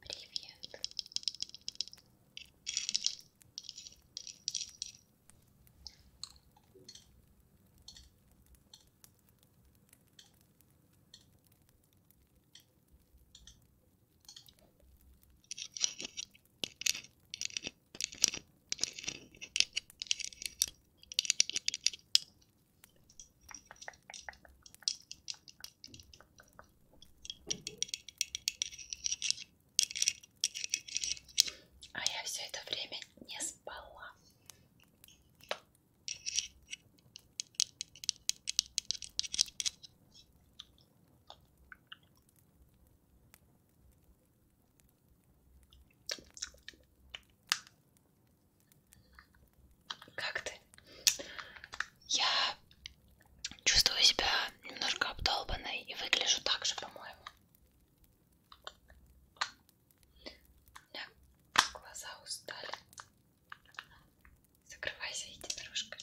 Привет. А я все это время не спала. Как ты? Я чувствую себя немножко обдолбанной и выгляжу так же, по-моему. У меня глаза устали. Закрывайся, единорожка.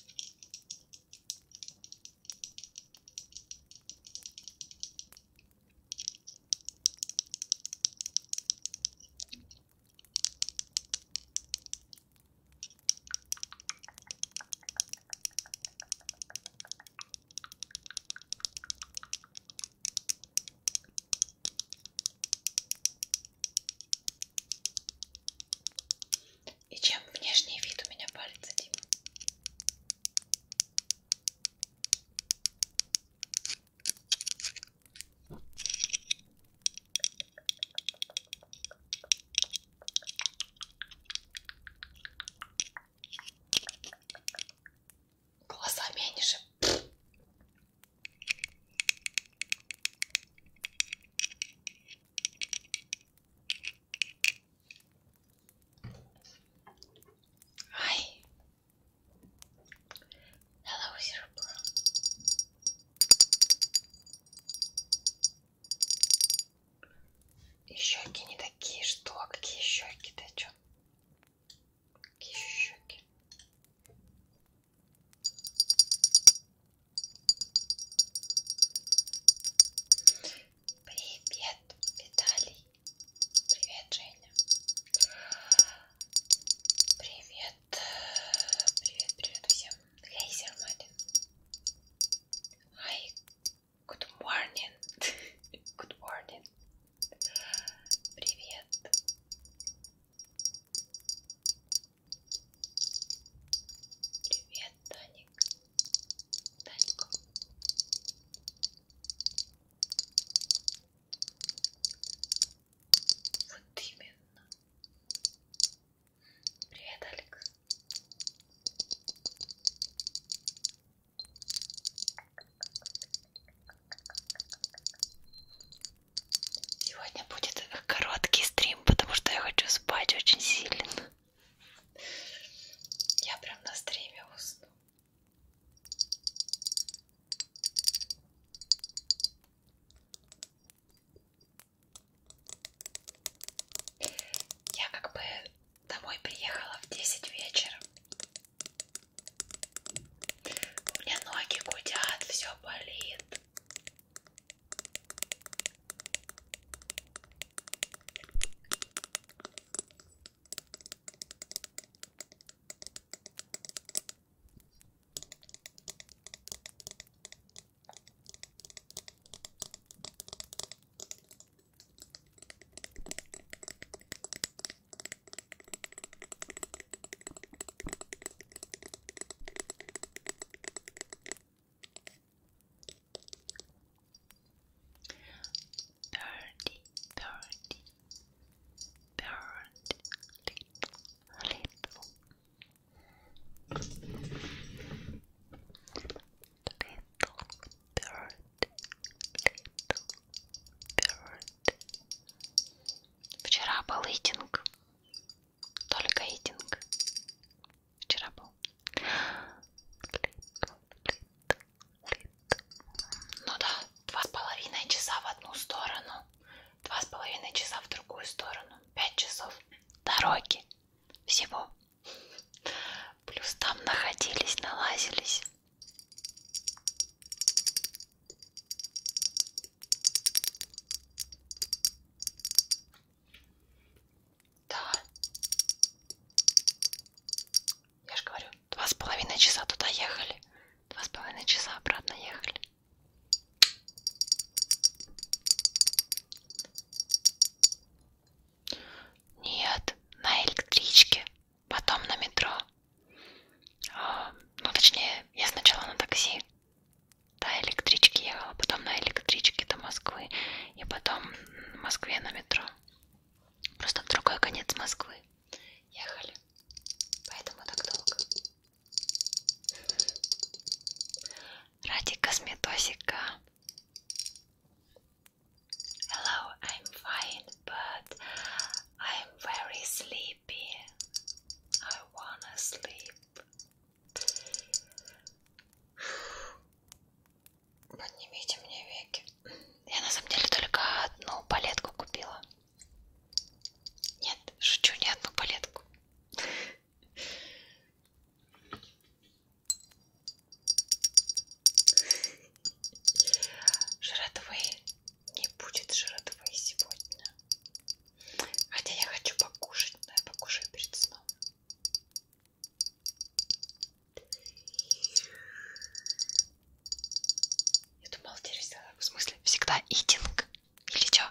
И чем внешний вид у меня палец один? Глаза меньше. Hi. Hello, Zero И щеки не такие, что? А какие щеки? Ты чё? Кишу щеки. Привет, Виталий. Привет, Женя. Привет. Э, привет, привет всем. Лейзер Мадин. Hi. Good morning. Good morning. Привет. Привет, Таник. Танька. Вот именно. Привет, Алекс. Сегодня будет короткий стрим, потому что я хочу спать очень сильно. Я прям на стриме усну. Я как бы домой приехала в 10 вечера. У меня ноги гудят, все болит. Thirty, thirty, thirty, little, little, little, thirty, little. Bird. Вчера был итинг. Только итинг. Вчера был. Ну да, два с половиной часа в одну сторону, два с половиной часа в другую сторону, пять часов дороги всего. Плюс там находились, налазились. Да. Я же говорю, два с половиной часа туда ехали, два с половиной часа обратно ехали. Нет, на электричке, потом на метро. Ну, точнее, я сначала на такси до электрички ехала, потом на электричке до Москвы, и потом в Москве на метро. Просто в другой конец Москвы ехали. Поэтому так долго. Ради косметосика. Hello, I'm fine, but I I'm very sleepy. I wanna sleep. Поднимите мне веки. Я на самом деле только одну палетку купила. Нет, шучу, не одну палетку. Жратвы не будет жратвы сегодня. Хотя я хочу покушать, но я покушаю перед сном. Я думала, теперь в смысле всегда итинг или что?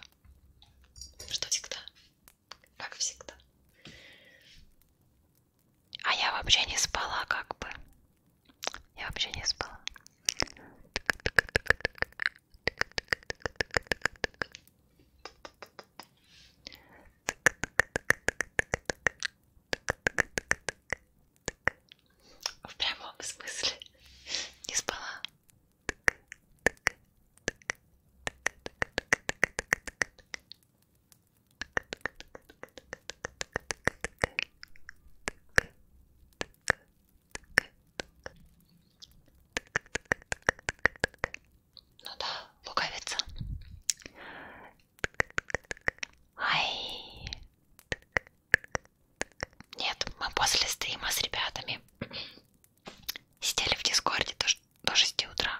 Что всегда? Как всегда. А я вообще не спала как бы. Я вообще не спала. В прямом смысле не спала. Ну да, луковица. Ай. Нет, мы после стрима с ребятами сидели в Дискорде до 6 утра.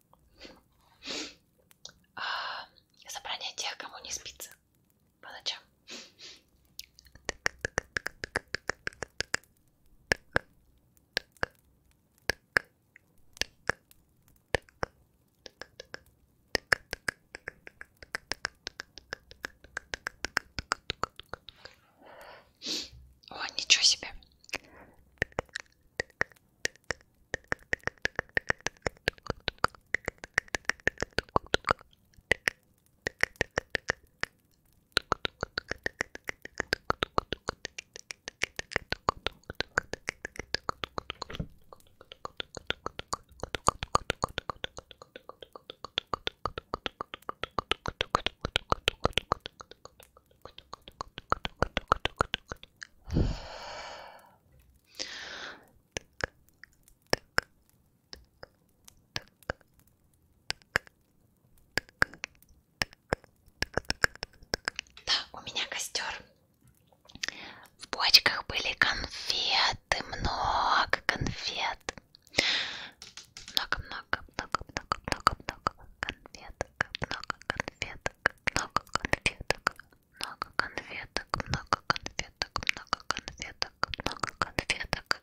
Собрание а, тех, кому не спится по ночам. О, ничего себе. Да, у меня костер. В бочках были конфеты, много конфет. Много-много-много-много-много-много конфет. Много конфет конфеток, много конфеток, много конфеток, много конфеток, много конфеток, много конфеток,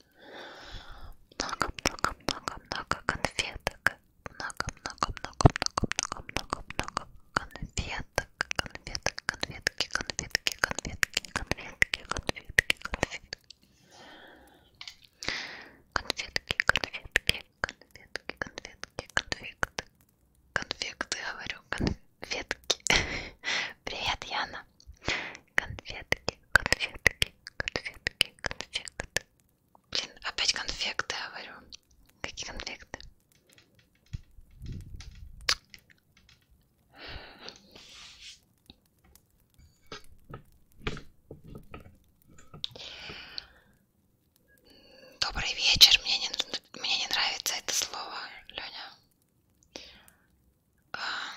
много, много, много, много конфеток, много, много, много, много, много, много конфеток, конфеток, конфетки, конфетки, конфетки, конфетки, конфетки, конфетки. Конфетки, конфетки, конфетки, конфетки, конфетки, конфетки, говорю, конфетки. Привет, Яна. Конфетки, конфетки, конфетки, конфетки. Блин, опять конфеты говорю. Какие конфеты? Добрый вечер. Мне не, мне не нравится это слово, Леня. А...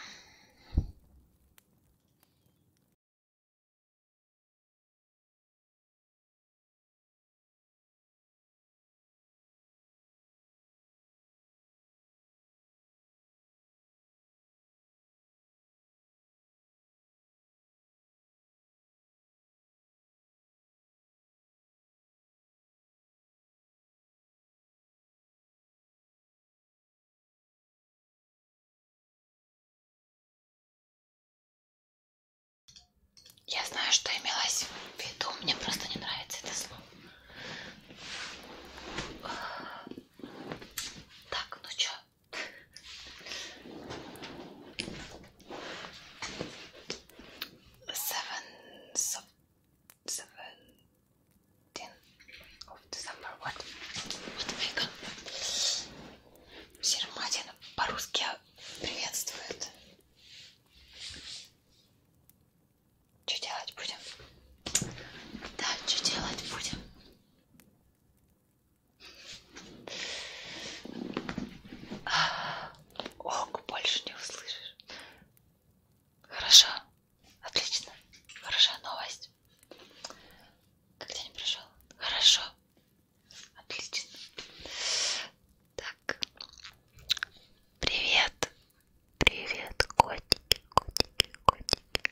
Я знаю, что имелось в виду, мне просто не нравится это слово. Так, ну чё? Seven so seventeen of December. What? What America? Серматин по-русски приветствует. Что делать будем? Да, что делать будем? Ок, больше не услышишь. Хорошо. Отлично. Хорошая новость. Как день прошел? Хорошо. Отлично. Так. Привет. Привет, котики, котики, котики.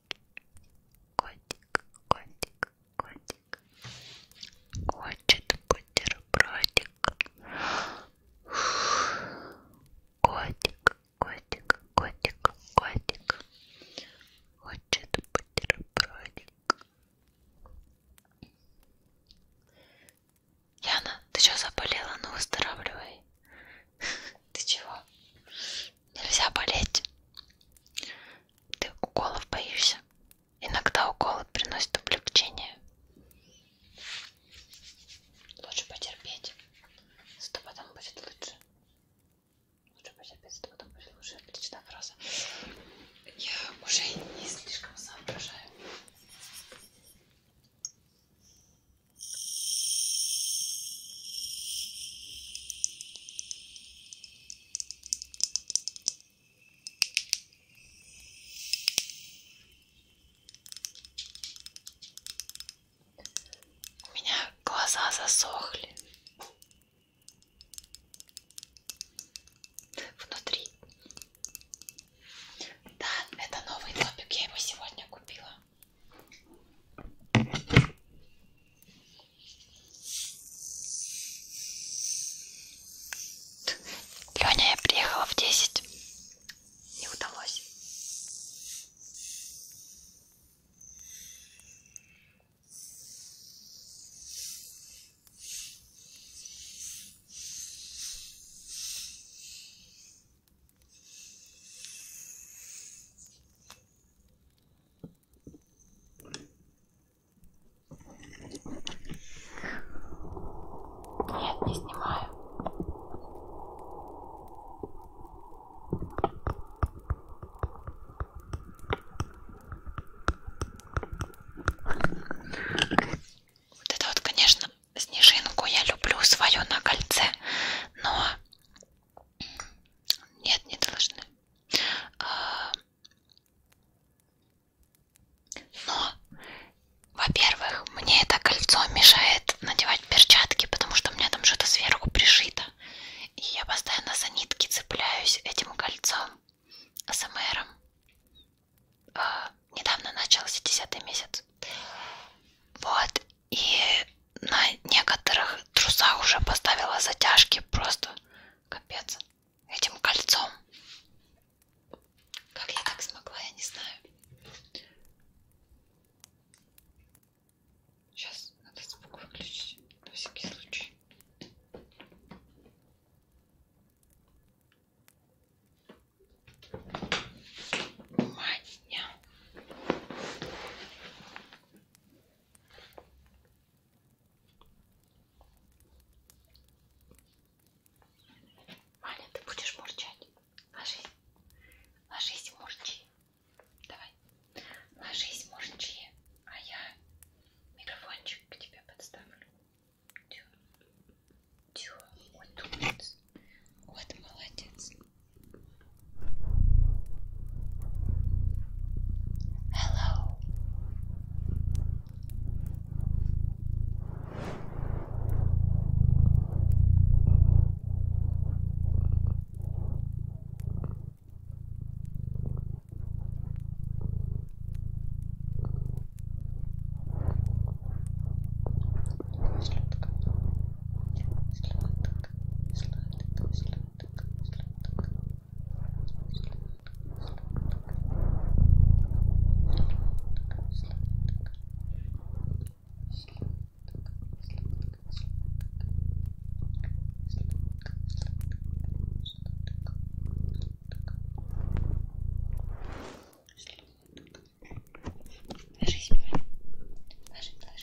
Котик, котик, котик. Хочет бутербродик. Котик, котик, котик, котик. Хочет бутербродик. Яна, ты что заболела? Ну выздоравливай. Ты чего? Нельзя болеть. Ты уколов боишься? Иногда уколы приносят облегчение. Лучше потерпеть. Зато потом будет лучше. Лучше потерпеть, зато потом будет лучше. Отличная фраза. Я уже не слишком соображаю. У меня глаза засохли. Внутри. Да, это новый топик, я его сегодня купила. Леня, я приехала в 10. Не удалось. Нет, не снимаю. Вот это вот, конечно, снежинку я люблю свою на кольце, но нет, не должны. А, но, во-первых, мне это кольцо мешает надевать перчатки, потому что у меня там что-то сверху пришито. И я постоянно за нитки цепляюсь этим кольцом АСМРом. А, недавно начался 10 месяц. Вот, и на некоторых трусах уже поставила затяжки. Просто капец. Этим кольцом. Как я так смогла, я не знаю. Сейчас надо звук выключить. На всякий случай. Маня. Маня, ты будешь мурчать? Ложись. Ложись, мурчи. Давай. Ложись, мурчи. А я микрофончик к тебе подставлю. Тю. Тю. Вот умница. Вот молодец. Hello. Slack, slack, slack, slack. Ложись, Ложись, ложись,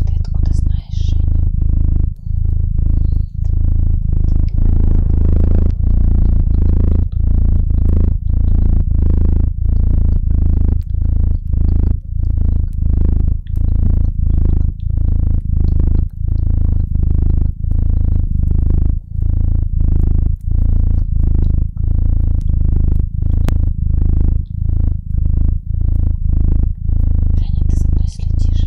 Ты откуда знаешь, Женя? Ты Таня, ты за мной следишь?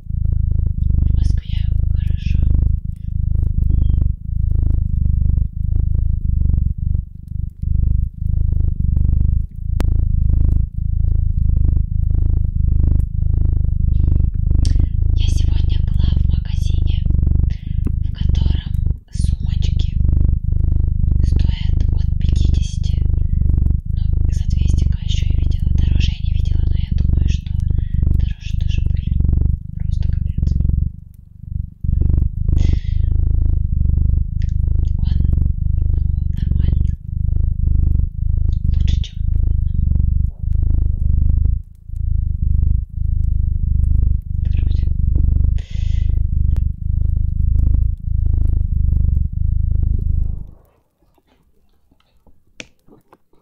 В Москве хорошо. Я сегодня была в магазине, в котором сумочки стоят от 50, ну, за 200 а еще и видела, дороже я не видела, но я думаю, что дорожи-дыши были. Просто капец. Он нормально. Лучше, чем Вроде.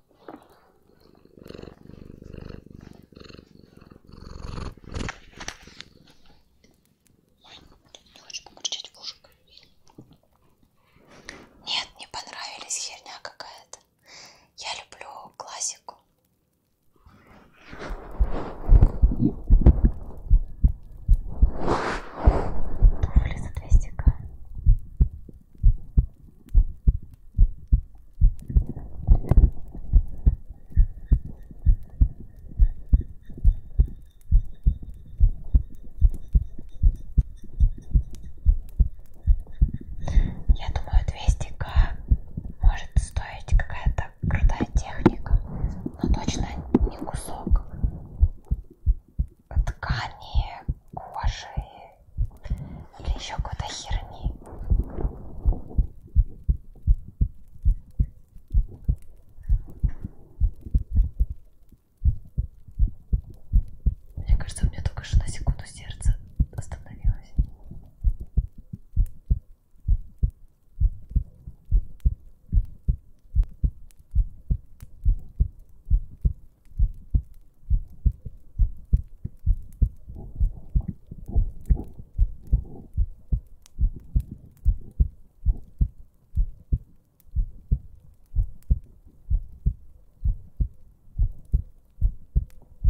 Ой, не хочешь помурчать в ушек? Нет, не понравились, херня какая-то. Я люблю классику. Туфли за 200к. Я думаю, 200к может стоить какая-то крутая техника, но точно не кусок ткани, кожи или еще какой-то херни. Мне кажется, у меня только что на секунду сердце остановилось.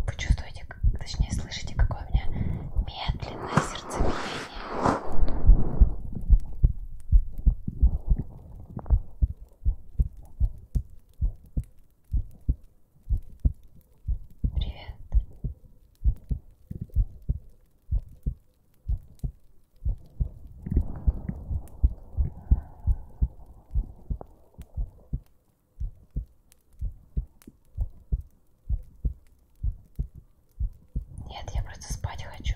Вы чувствуете, точнее слышите, какое у меня медленное сердцебиение? Привет. Нет, я просто спать хочу.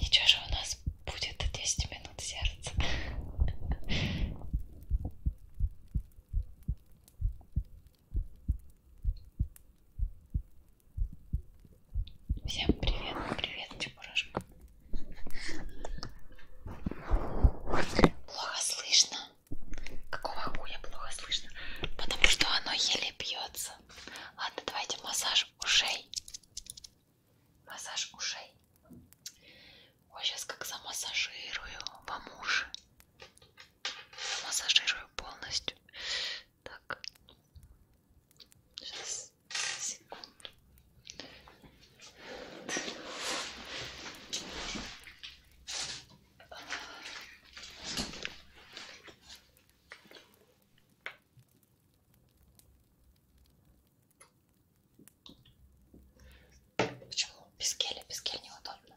Ничего же у нас будет 10 минут сердца. Всем привет, привет, Чебурашка. Плохо слышно. Какого хуя плохо слышно? Потому что оно еле бьется. Ладно, давайте массаж ушей. Массаж ушей. Ой, сейчас как замассажирую вам уши массажирую полностью. Так. Сейчас, секунду. Почему без геля? Без геля неудобно.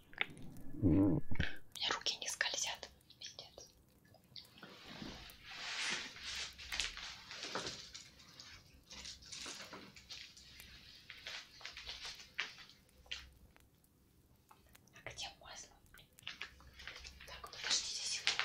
Руки не скользят. Пиздец. А где масло? Так, подождите секунду.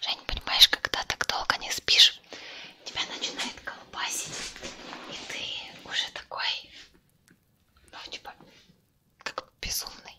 Жень, понимаешь, когда так долго не спишь, тебя начинает колбасить, и ты уже такой, ну, типа, как безумный.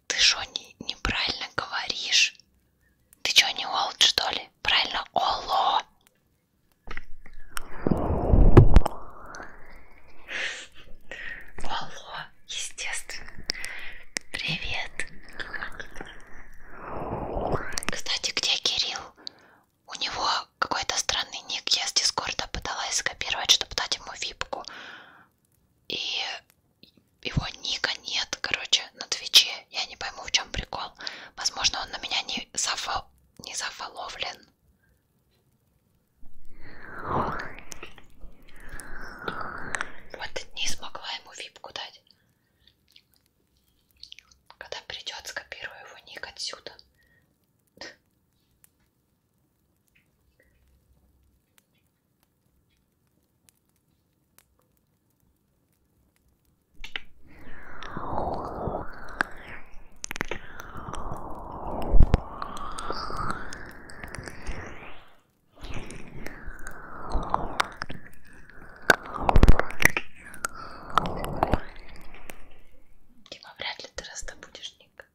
Ты что, не, неправильно говоришь? Ты что, не олд, что ли? Правильно, оло. Алло, естественно. Привет. Кстати, где Кирилл? У него какой-то странный ник. Я с Дискорда пыталась скопировать, чтобы дать ему випку и его ника нет, короче, на Твиче. Я не пойму, в чем прикол. Возможно, он на меня не, зафо... не зафоловлен. Вот не смогла ему випку дать. Когда придет, скопирую его ник отсюда. Дима, типа, вряд ли ты раздобудешь ник.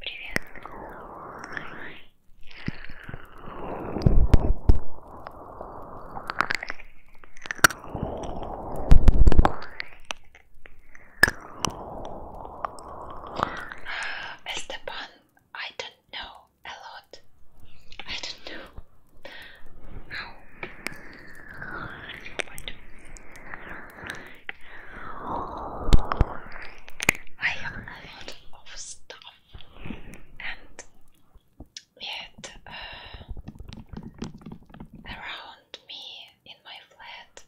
Привет. Esteban, I don't know a lot. I don't know how. I have a lot of stuff, and yet uh, around me in my flat.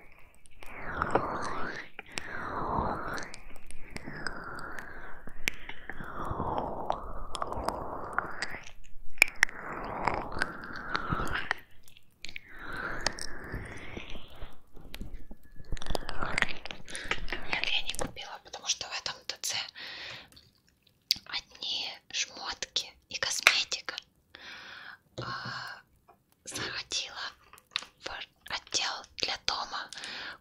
Нет, я не купила, потому что в этом ТЦ одни шмотки и косметика. А, заходила в отдел для дома,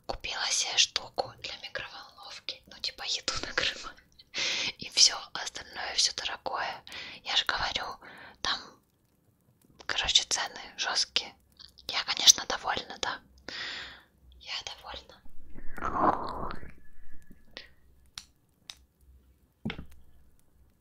купила себе штуку для микроволновки, ну типа еду накрывать и все остальное все дорогое. Я же говорю, там, короче, цены жесткие. Я, конечно, довольна, да. Я довольна.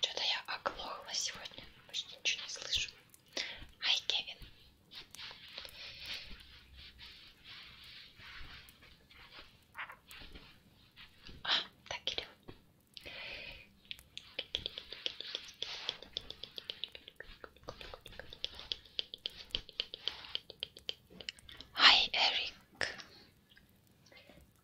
Что-то я оглохла сегодня, почти ничего не слышу. Ай, Кевин. А, так, Кирилл. Hi, Эрик.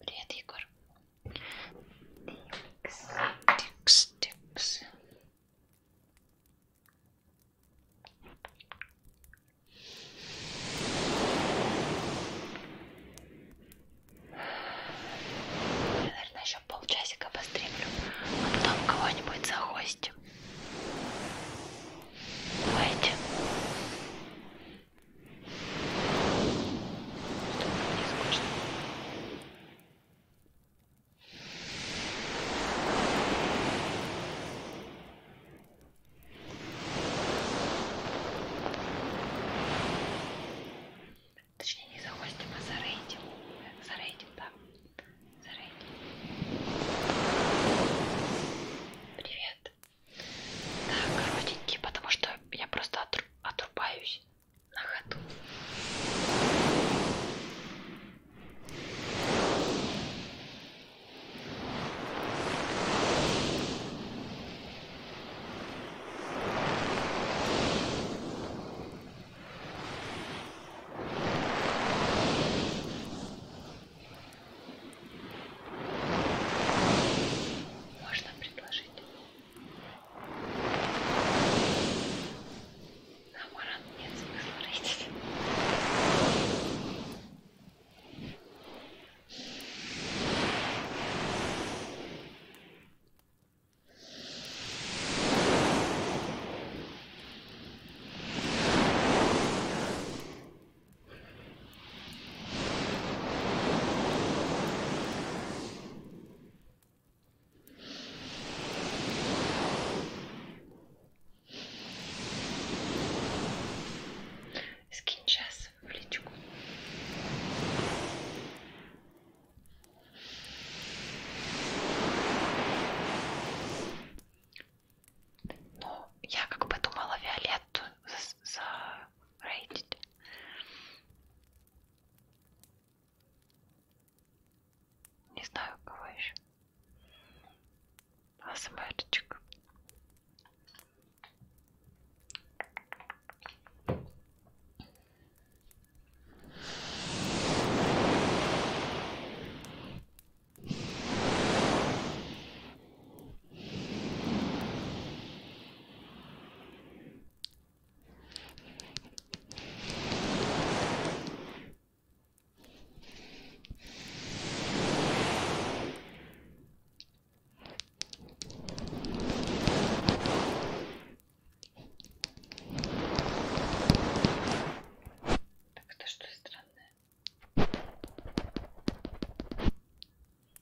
Привет, Егор. Тикс, тикс. Наверное, еще полчасика постримлю, а потом кого-нибудь захостим. Давайте. Точнее, не захостим, а за рейдим. За рейдим, да. За рейдим. Привет. Так, коротенькие, потому что я просто отру отрубаюсь на ходу. Можно предложить на маран нет смысла растить. Скинь час в личку. Ну, я как бы думала Виолетту за, за rated. Не знаю, кого еще. Асмерчик. Так это что странное?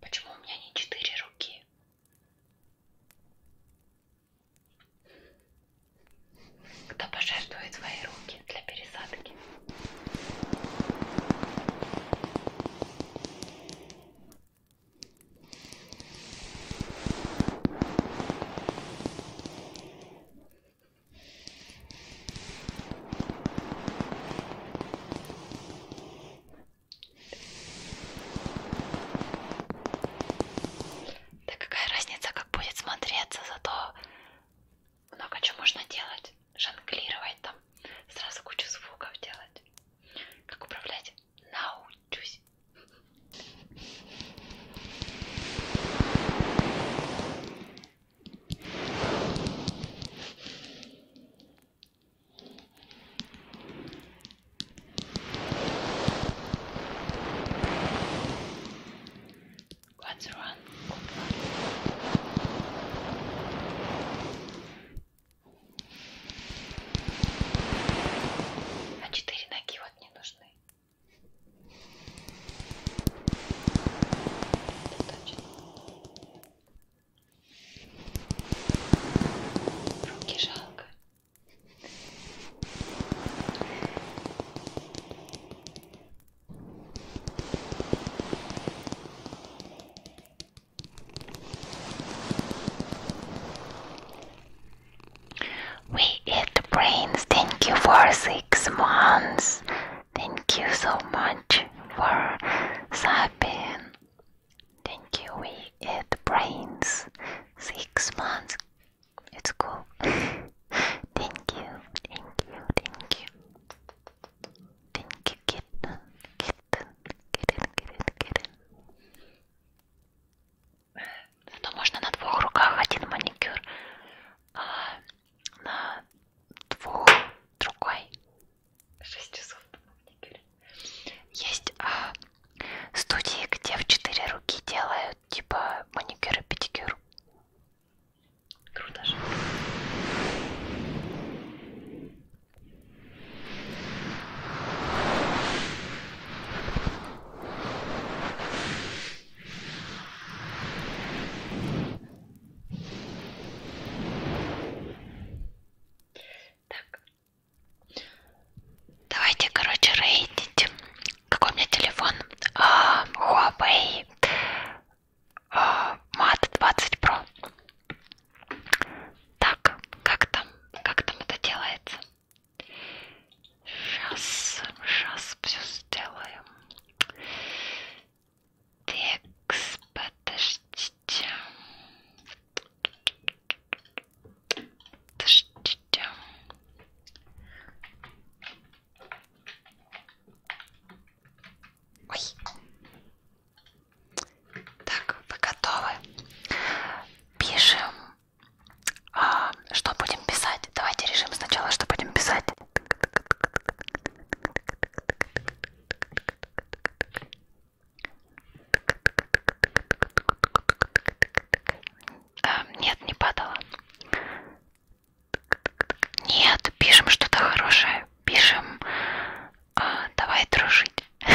Почему у меня не четыре руки? Кто пожертвует свои руки? подходит для пересадки. Да какая разница, как будет смотреться, зато много чего можно делать, жонглировать там, сразу кучу звуков делать. Как управлять? Научусь. Let's run. А четыре ноги вот не нужны. Это точно. Руки жалко. We eat brains. Thank you for six months. Thank you so much for sapping. Thank you. We eat brains. Six months. It's cool. thank you. Thank you. Thank you. Pinky kitten, kitten, kitten, kitten, kitten. Зато можно на двух руках один маникюр, а на двух другой. 6 часов на маникюре. Есть а, студии, где в четыре руки делают типа маникюр и педикюр. Круто же. Так. Давайте, короче, рейтить. Какой у меня телефон? А, Huawei Мат 20 Pro. Так, как там? Как там это делается? Сейчас, сейчас все сделаем. Текст, подождите. Подождите. Ой. Так, вы готовы? Пишем. А, что будем писать? Давайте решим сначала, что будем писать. А, нет, не падала. Нет, пишем что-то хорошее. Пишем а, давай дружить.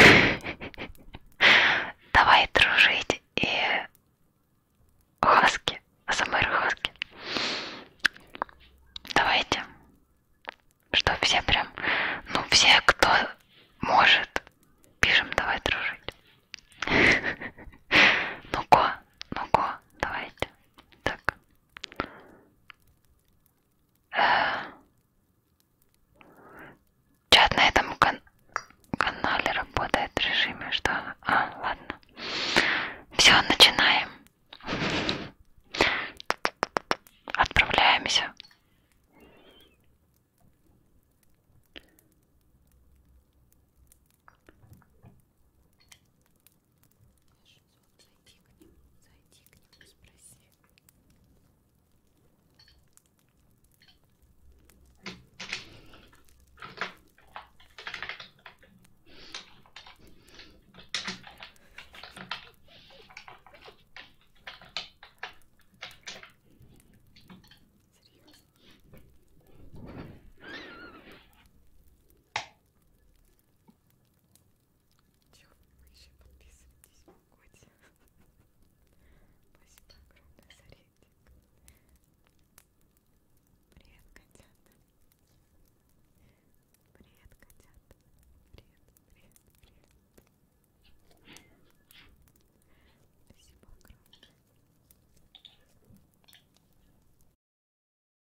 Давай дружить и хаски. Самые хаски. Давайте. Что все прям. Ну, все, кто может, пишем давай дружить. Ну-ка, ну-ка, давайте. Так. Чат на этом кан канале работает в режиме, что... А, ладно. Все, начинаем. Отправляемся. Можешь вот зайти к ним, зайти к ним, спроси. Че, вы еще подписывайтесь, Коти. Спасибо огромное за рейтинг. Привет, котята. Привет, котята. Привет, привет, привет. Спасибо огромное.